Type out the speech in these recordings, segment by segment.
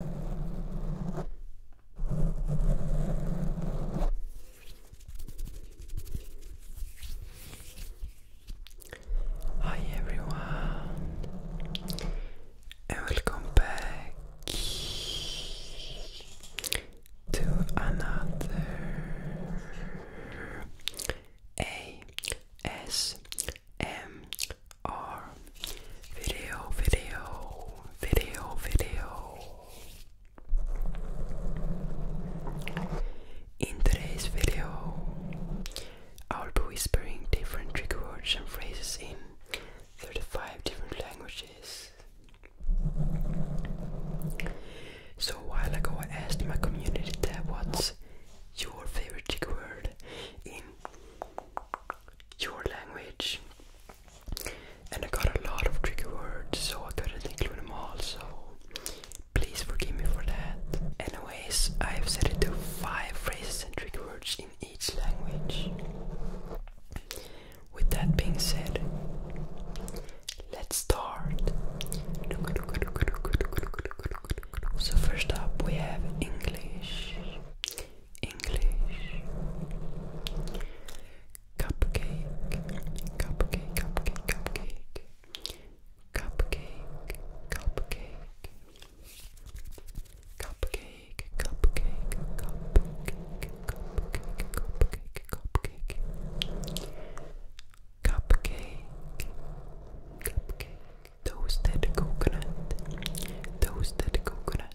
Hi everyone, and welcome back to another ASMR our video, video, video, video. In today's video, I'll be whispering different trick words and phrases in 35 different languages. So a while ago I asked my community what's your favorite trick word in your language. And I got a lot of tricky words, so I couldn't include them all, so please forgive me for that. Anyways, I've said it to 5 phrases and trigger words in each language. With that being said, let's start. So, first up, we have English. English cupcake, cupcake, cupcake, cupcake, cupcake, cupcake, cupcake, cupcake, cupcake, cupcake, cupcake, cupcake, cupcake, cupcake, toasted coconut, toasted coconut.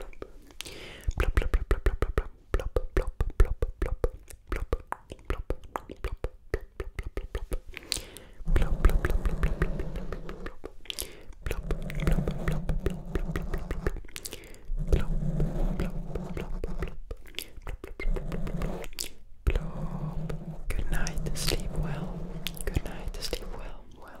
Good night, sleep well. Good night, sleep well. Well,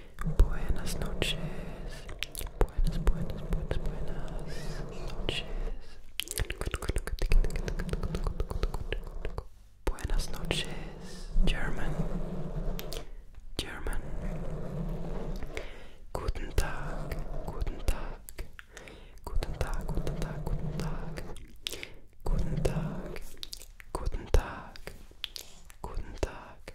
Buenas noches. Buenas, buenas, buenas, buenas noches. Buenas noches, German. German. Guten Tag, guten Tag. Guten Tag, guten Tag, guten Tag. Guten Tag, guten Tag. Guten Tag.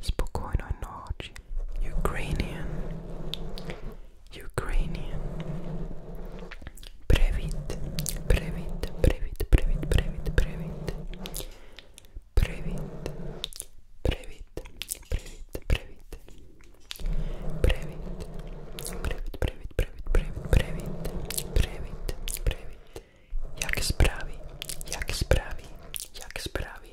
Spokojna noc. Ukrainian. Ukrainian. Previt. Previt. Previt. Previt. Previt. Previt. Previt. Previt. Previt. Previt. Previt. Previt. Previt. Previt. Previt. Previt. Previt. Jak sprawi? Jak sprawi? Jak sprawi?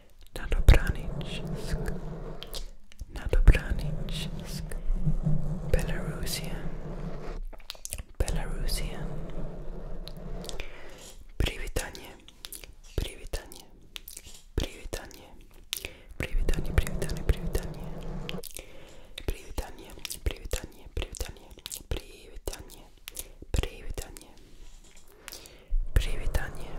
Nadobranichsk, Nadobranichsk, Belarusian, Belarusian, Privitanie, Privitanie, Privitanie, Privitanie, Privitanie, Privitanie, Privitanie, Privitanie, Privitanie, Privitanie,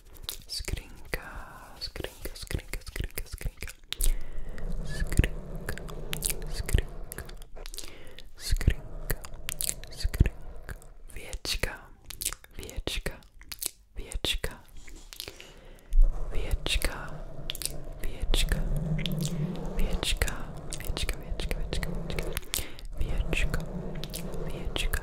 Skrinka, skrinka, skrinka, skrinka, skrinka. Skrinka, skrinka, skrinka, skrinka. Wieczka, wieczka, wieczka. Wieczka, wieczka, wieczka, wieczka, wieczka, wieczka, wieczka. Wieczka, wieczka,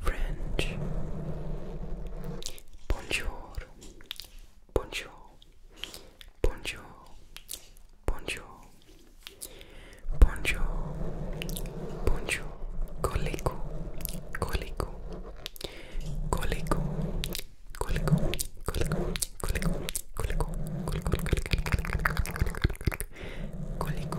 French. Bonjour. Bonjour. Bonjour. Bonjour. Bonjour. Bonjour. Coleco. Coleco. Coleco. Coleco. Coleco. Coleco. Coleco. Coleco. Coleco. Coleco. Coleco.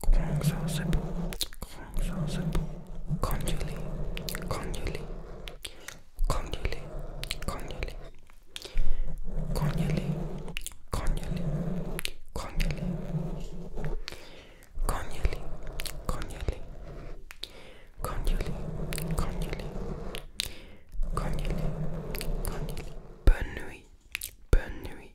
공사세포, 공사세포, 건율리, 건율리, 건율리, 건율리, 건율리, 건율리, 건율리, 건율리, 건율리, 건율리, 건율리, 건율리, 건율리, Bonne nuit, bonne nuit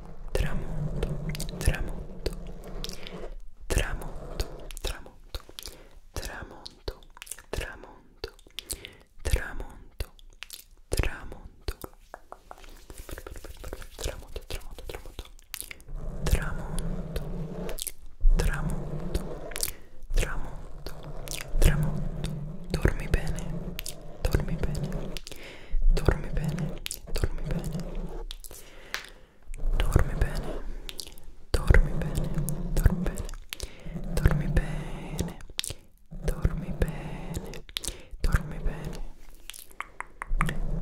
tramonto, tramonto, tramonto, tramonto, tramonto, tramonto, tramonto, tramonto, tramonto, tramonto, tramonto, tramonto, tramonto, tramonto, tramonto, dormi bene, dormi bene, dormi bene, dormi bene. dormi bene dormi bene dormi bene dormi bene dormi bene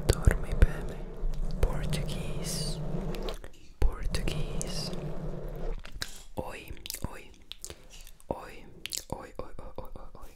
dormi bene Portuguese Portuguese oi Oi oi oi oi oi oi oi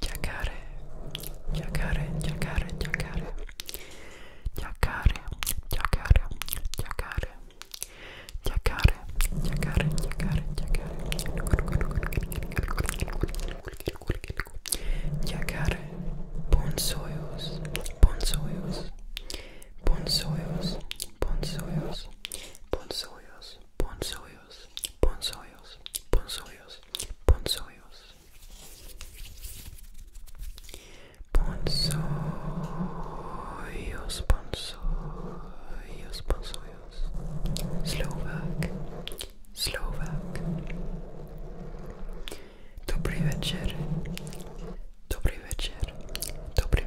Jacare, jacare, jacare, jacare, jacare, jacare, jacare, jacare, jacare, jacare, jacare, jacare, bonsoyos, bonsoyos, bonsoyos, bonsoyos, bonsoyos, bonsoyos, bonsoyos, bonsoyos, bonsoyos. Ponzoios, Ponzoios, Ponzoios. Slovak, Slovak. Dobry večer. Dobry večer. Dobry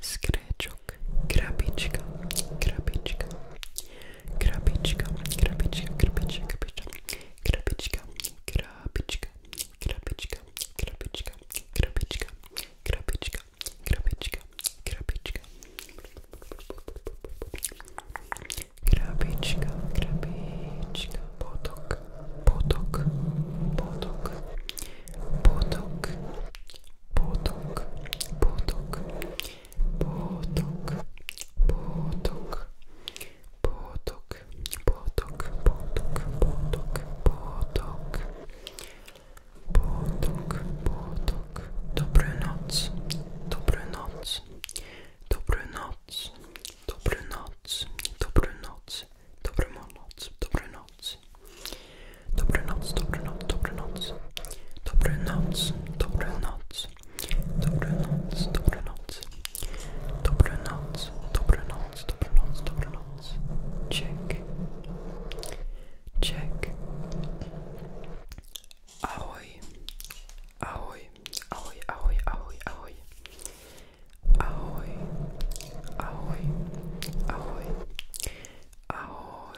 skreczok, krabiczka, krabiczka, krabiczka, krabiczka, krabiczka, krabiczka, krabiczka, krabiczka, krabiczka, krabiczka, krabiczka, krabiczka, krabiczka. Krabiczka, krabiczka, potok, potok, potok, potok, botok, botok, botok, botok, botok, botok, botok, botok, botok, botok, botok. Dobranoc, dobranoc, dobranoc, dobranoc, dobranoc, dobranoc, dobranoc double Dobranoc, double dobranoc. double dobranoc. double dobranoc. double dobranoc, double dobranoc. Check. Check. Ahoj. Ahoj. Ahoj, ahoj, ahoj, ahoj. Ahoj. Ahoj. Ahoj.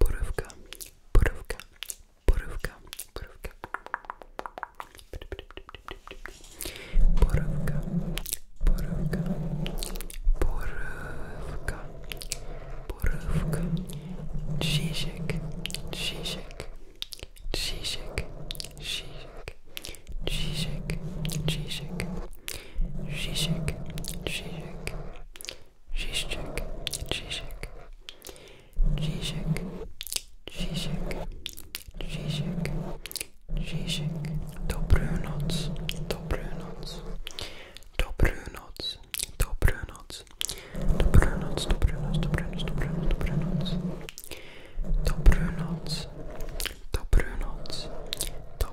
Borówka, borówka, borówka, borówka. Borówka, borówka, borówka, borówka. Zizek, zizek, zizek, zizek, zizek, zizek, zizek, zizek. Zizek, Zizek, Zizek, Zizek, Zizek, Zizek. Dobrunoc, Dobrunoc, Dobrunoc, Dobrunoc, Dobrunoc, Dobrunoc, Dobrunoc, Dobrunoc, Dobrunoc, Dobrunoc, Dobrunoc,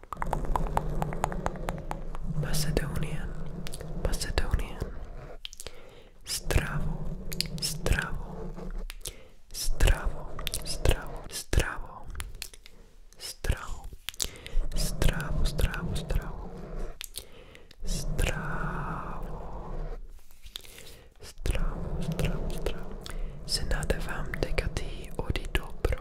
Macedonian, Macedonian. Stravo, stravo, stravo, stravo, stravo, stravo, stravo, stravo, stravo, stravo, stravo, stravo, stravo. Se nade vám dekatý odi dobro.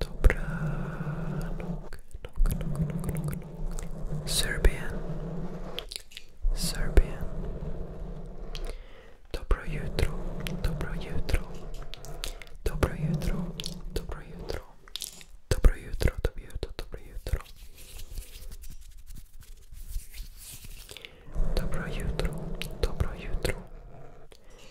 Dobranok, nok, nok, nok, nok, nok. Serbian, Serbian. Dobro jutro, dobro jutro. Dobro jutro, dobro jutro. Dobro jutro, dobro jutro, dobro jutro. Dobro jutro, dobro jutro.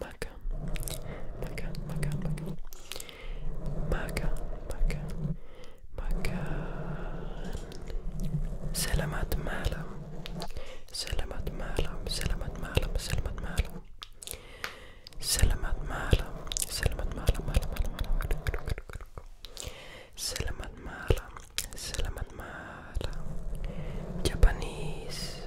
Makan, makan, makan, makan, makan, makan, Selamat malam, selamat malam, selamat malam, selamat malam, selamat malam, selamat malam, malam, malam, malam. Selamat malam, selamat malam. Japanese,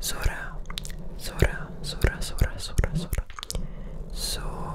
Sora, Sora, Sora, Sora, Sora, Sora, Sora.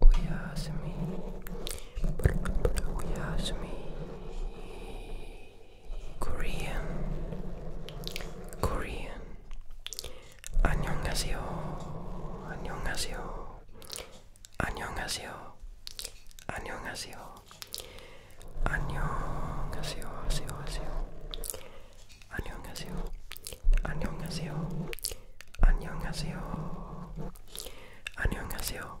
Uyasmi. Uyasmi. Korean. Korean. 안녕하세요. 안녕하세요. 안녕하세요. 안녕하세요. 안녕하세요. 하세요. 하세요. 안녕하세요. 안녕하세요. 안녕하세요. 안녕하세요.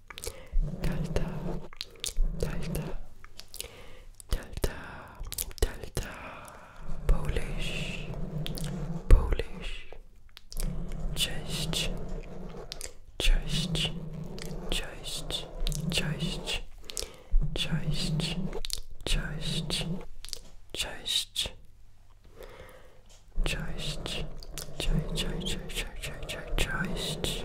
delta, delta, delta, delta, Polish, Polish, cześć, cześć, cześć, cześć, cześć, cześć, cześć. Cześć, cześć, cześć, cześć, cześć, cześć, cześć,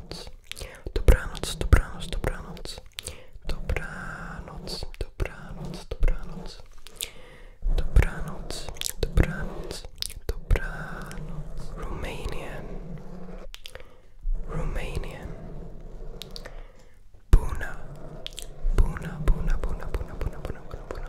dobranoc, dobranoc, dobranoc, dobranoc, dobranoc, dobranoc, dobranoc, dobranoc, dobranoc, dobranoc, Romanian, Romanian, Buna, Buna, Buna, Buna, Buna, Buna, Buna, Buna, Buna,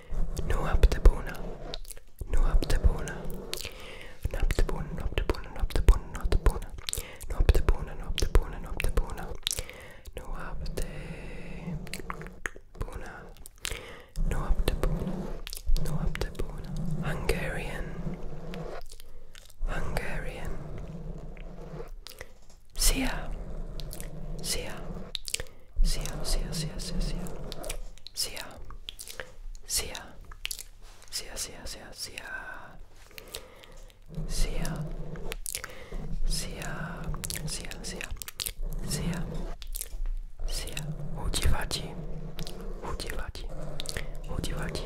No No No Noaptebona, Noaptebona, Noaptebona, No Noaptebona, Noaptebona, Noaptebona, No Noaptebona, Noaptebona, Noaptebona, Hungarian, Hungarian, Sia, Sia. Sia, sia, sia, sia, sia. Sia. Sia. Sia, sia, sia, sia. Sia. Sia, sia, sia. Sia. Sia. Udivati. Udivati. Udivati. Udivati.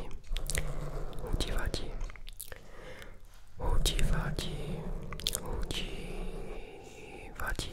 Udivati. Udivati. Udivati.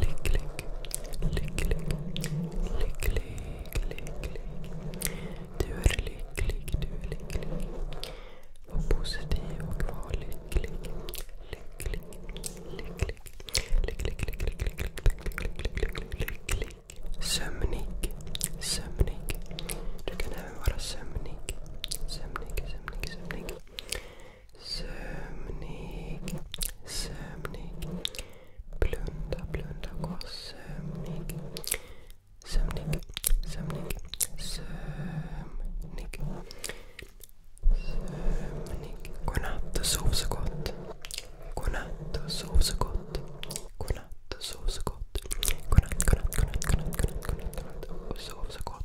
lycklig, lycklig, lycklig, lycklig, Du är lycklig, du är lycklig. Var positiv och var lycklig, lycklig, lycklig, lycklig, lycklig. Sömnig, sömnig. Du kan även vara sömnig. Sömnig, sömnig, sömnig. Sömnig, sömnig. Blunda, blunda, gå sömnig. Sömnig, sömnig, sömnig. Sömnig. Godnatt och sov så gott. Godnatt och sov så gott. Godnatt och sov så gott. Godnatt, godnatt, godnatt, godnatt, godnatt, godnatt. Och sov så gott.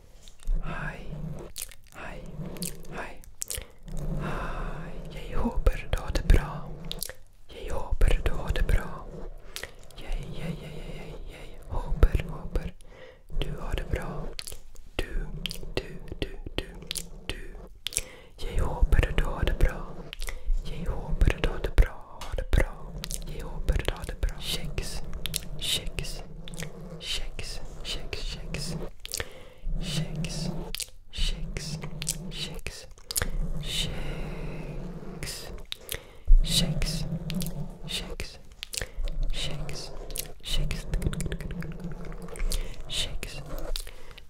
Hej. Jag hoppas du har det bra. Jag hoppas du har det bra. Jag, jag, du har det bra. Du, shakes, shakes, shakes, shakes, shakes, shakes, shakes, shakes, shakes, shakes, shakes, shakes, shakes,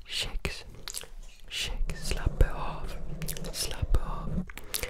shakes, shakes, slapp av, slapp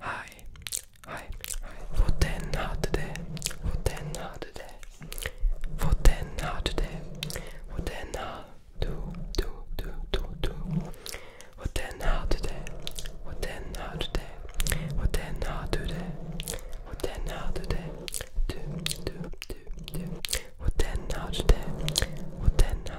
Hi, hi, hi. Få den hade det. Få den hade det. Få den hade det. Få den hade du, du, du, du, du. Få den hade det. Få den hade det. Få den hade det. Få den hade det. Du, du, du, du. Få den hade det. Få den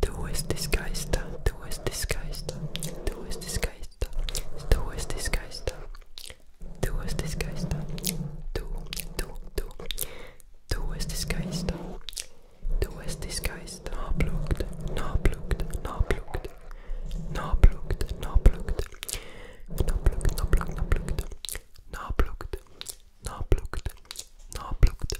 Tú es disguista, tú es disguista, tú es disguista, tú es disguista, tú es disguista, tú, tú, tú, tú es disguista, tú es disguista, naplukt, naplukt, naplukt, naplukt, naplukt, naplukt, naplukt, naplukt, naplukt, naplukt, naplukt,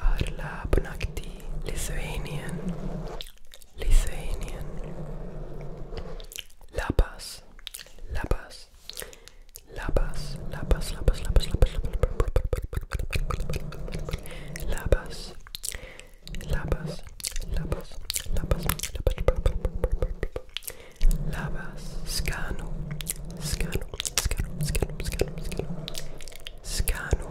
Arla Bonakti, Lithuanian, Lithuanian, Lapas, Lapas, Lapas, Lapas, Lapas, Lapas, Lapas, Lapas, Lapas, Lapas, Lapas, Lapas, Skano, Skano, Skano, Skano, Skano, Skano, Skano,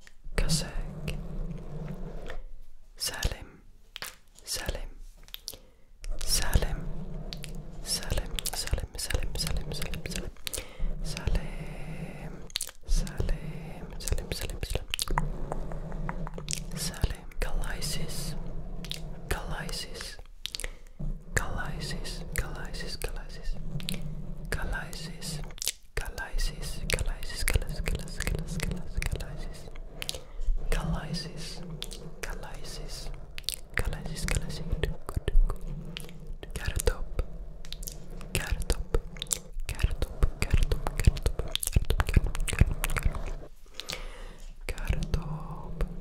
Kazakh Salim Salim Salim Salim Salim Salim Salim Salim Salim Salim Salim Salim Salim Salim Salim Galaxis Galaxis Galaxis Galaxis Galaxis Galaxis Calysis, calysis, calysis, calysis, calysis, calysis, calysis, calysis, calysis, good, good. Cartop, cartop, cartop, cartop, cartop, cartop, cartop, cartop,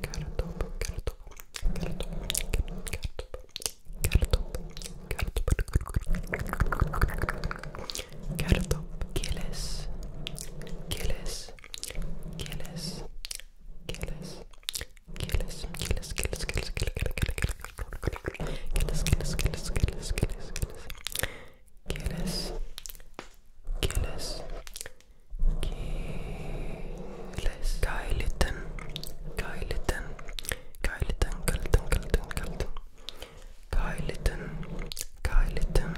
cartop, cartop, cartop, cartop, Cartop Gillis Gillis Gillis Gillis Gillis Gillis Gillis Gillis Gillis Gillis Gillis Gillis Gillis Gillis Gillis Gillis Guy Litton Guy Litton Guy Litton Guy Litton Guy Litton Gayliten, Gayliten,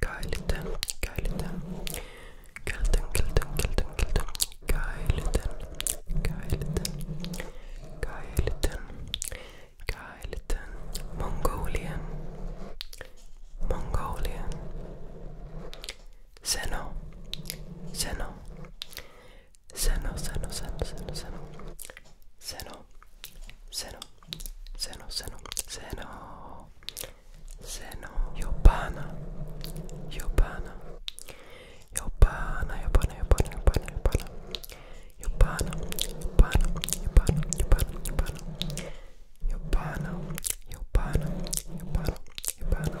Gayliten, Gayliten, Gayliten, Gayliten, Gayliten, Gayliten, Gayliten, Gayliten, Gayliten, Mongolian, Mongolian, Zeno, Zeno, Seno, seno, seno, seno, seno. Seno. Seno. Seno, seno, seno. Seno. Jobbana. Jobbana. Jobbana, jobbana, jobbana, jobbana, jobbana. Jobbana. Jobbana, jobbana, jobbana, jobbana. Jobbana. Jobbana. Jobbana. Jobbana. Jobbana.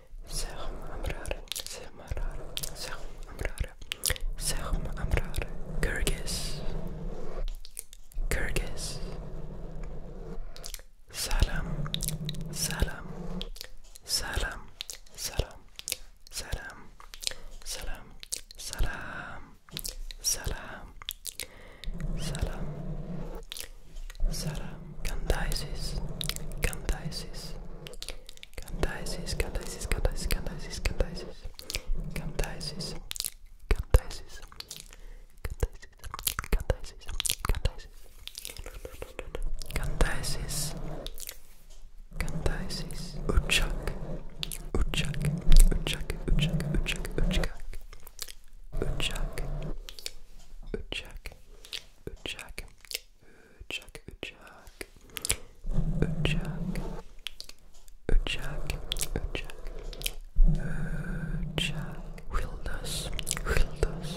سهم أمرار سهم أمرار سهم أمرار سهم أمرار كرغس كرغس سلام سلام سلام سلام سلام سلام سلام سلام سلام سلام كندايسيس كندايسيس Camtaesis, Camtaesis, Camtaesis, Camtaesis, Camtaesis, Camtaesis, Camtaesis, Camtaesis, Camtaesis, Camtaesis, Camtaesis, Uchak, Uchak, Uchak, Uchak, Uchak, Uchak, Uchak, Uchak, Uchak, Uchak, Uchak, Uchak, Uchak, Uchak, Uchak, Wildus, Wildus,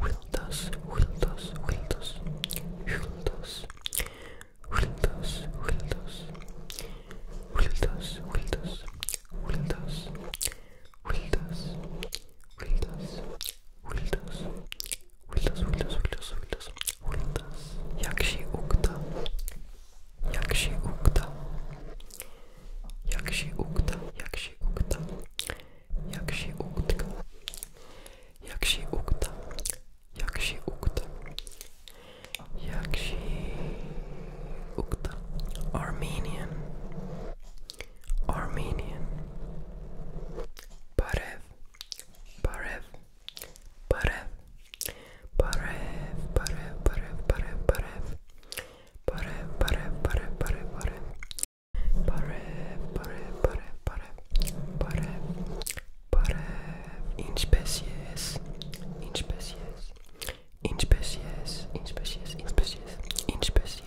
Wildus, Wildus, Wildus, Wildus, Wildus, Wildus, Wildus, Wildus, Wildus, Wildus, Wildus, Wildus, Huldas, Huldas, Huldas, Huldas, Huldas. Jak się uda? Jak się uda? Jak się uda? Jak się uda? Jak się uda? Jak się uda? Jak się uda? Jak się uda? Armenian. Armenian Parev Parev Parev Parev Parev Parev Parev Parev Parev Parev Parev Parev Parev Parev Parev Parev Parev Parev Parev In species In species In species In species In species In species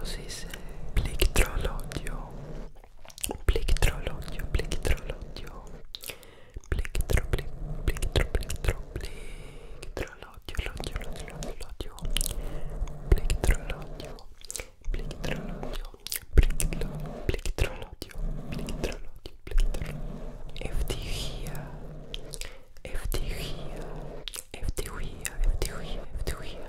Precis. Pliktrålaudio. Pliktrålaudio. Pliktrålaudio. Pliktro, pliktro, pliktro, pliktrålaudio. Laudio, laudio, laudio. Pliktrålaudio. Pliktrålaudio. Pliktrålaudio. Pliktrålaudio. Pliktrålaudio. Eftergia. Eftergia. Eftergia. Eftergia. Eftergia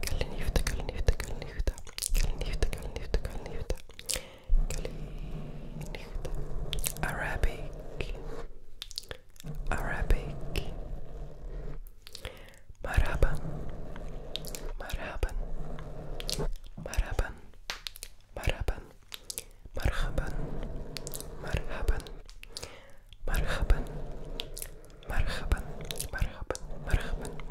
Kalinifta, Kalinifta, Kalinifta, Kalinifta, Kalinifta, Kalinifta, Kalinifta, Arabic, Arabic, Maraban, Maraban, Maraban, Maraban, Marhaban, Marhaban, Marhaban, Marhaban, Marhaban, Marhaban,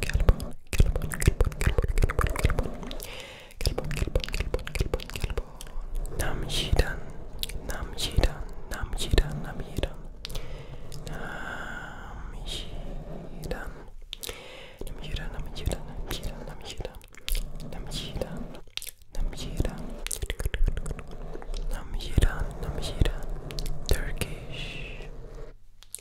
Calbon, Calbon, Calbon, Calbon, Calbon, Calbon, Calbon, Calbon, Calbon, Nam Yidan, Nam Yidan, Nam Yidan, Nam Yidan, Nam Yidan, Nam Yidan, Nam Yidan, Nam Yidan, Nam Yidan, Nam Yidan, Nam Yidan, Nam Yidan, Nam Yidan, Turkish.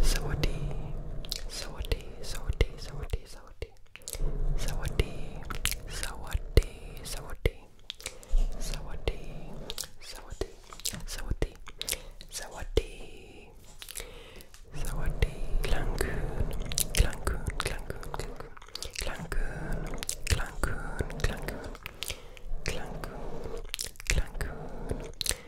Sawadee, Sawadee, Sawadee, Sawadee, Sawadee, Sawadee, Sawadee, Sawadee, Sawadee, Sawadee, Sawadee, Sawadee, Sawadee, Clancoon, Clancoon, Clancoon, Clancoon, Clancoon, Clancoon, Clancoon, Clancoon,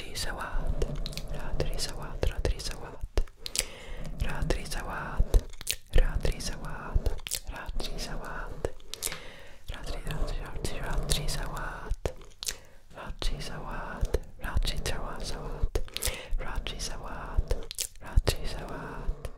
Ratri Sawat, Ratri Sawat, Ratri Sawat, Ratri Sawat, Ratri Sawat, Ratri Sawat, Ratri Ratri Ratri Sawat, Ratri Sawat, Ratri Sawat, Ratri Sawat, Ratri Sawat.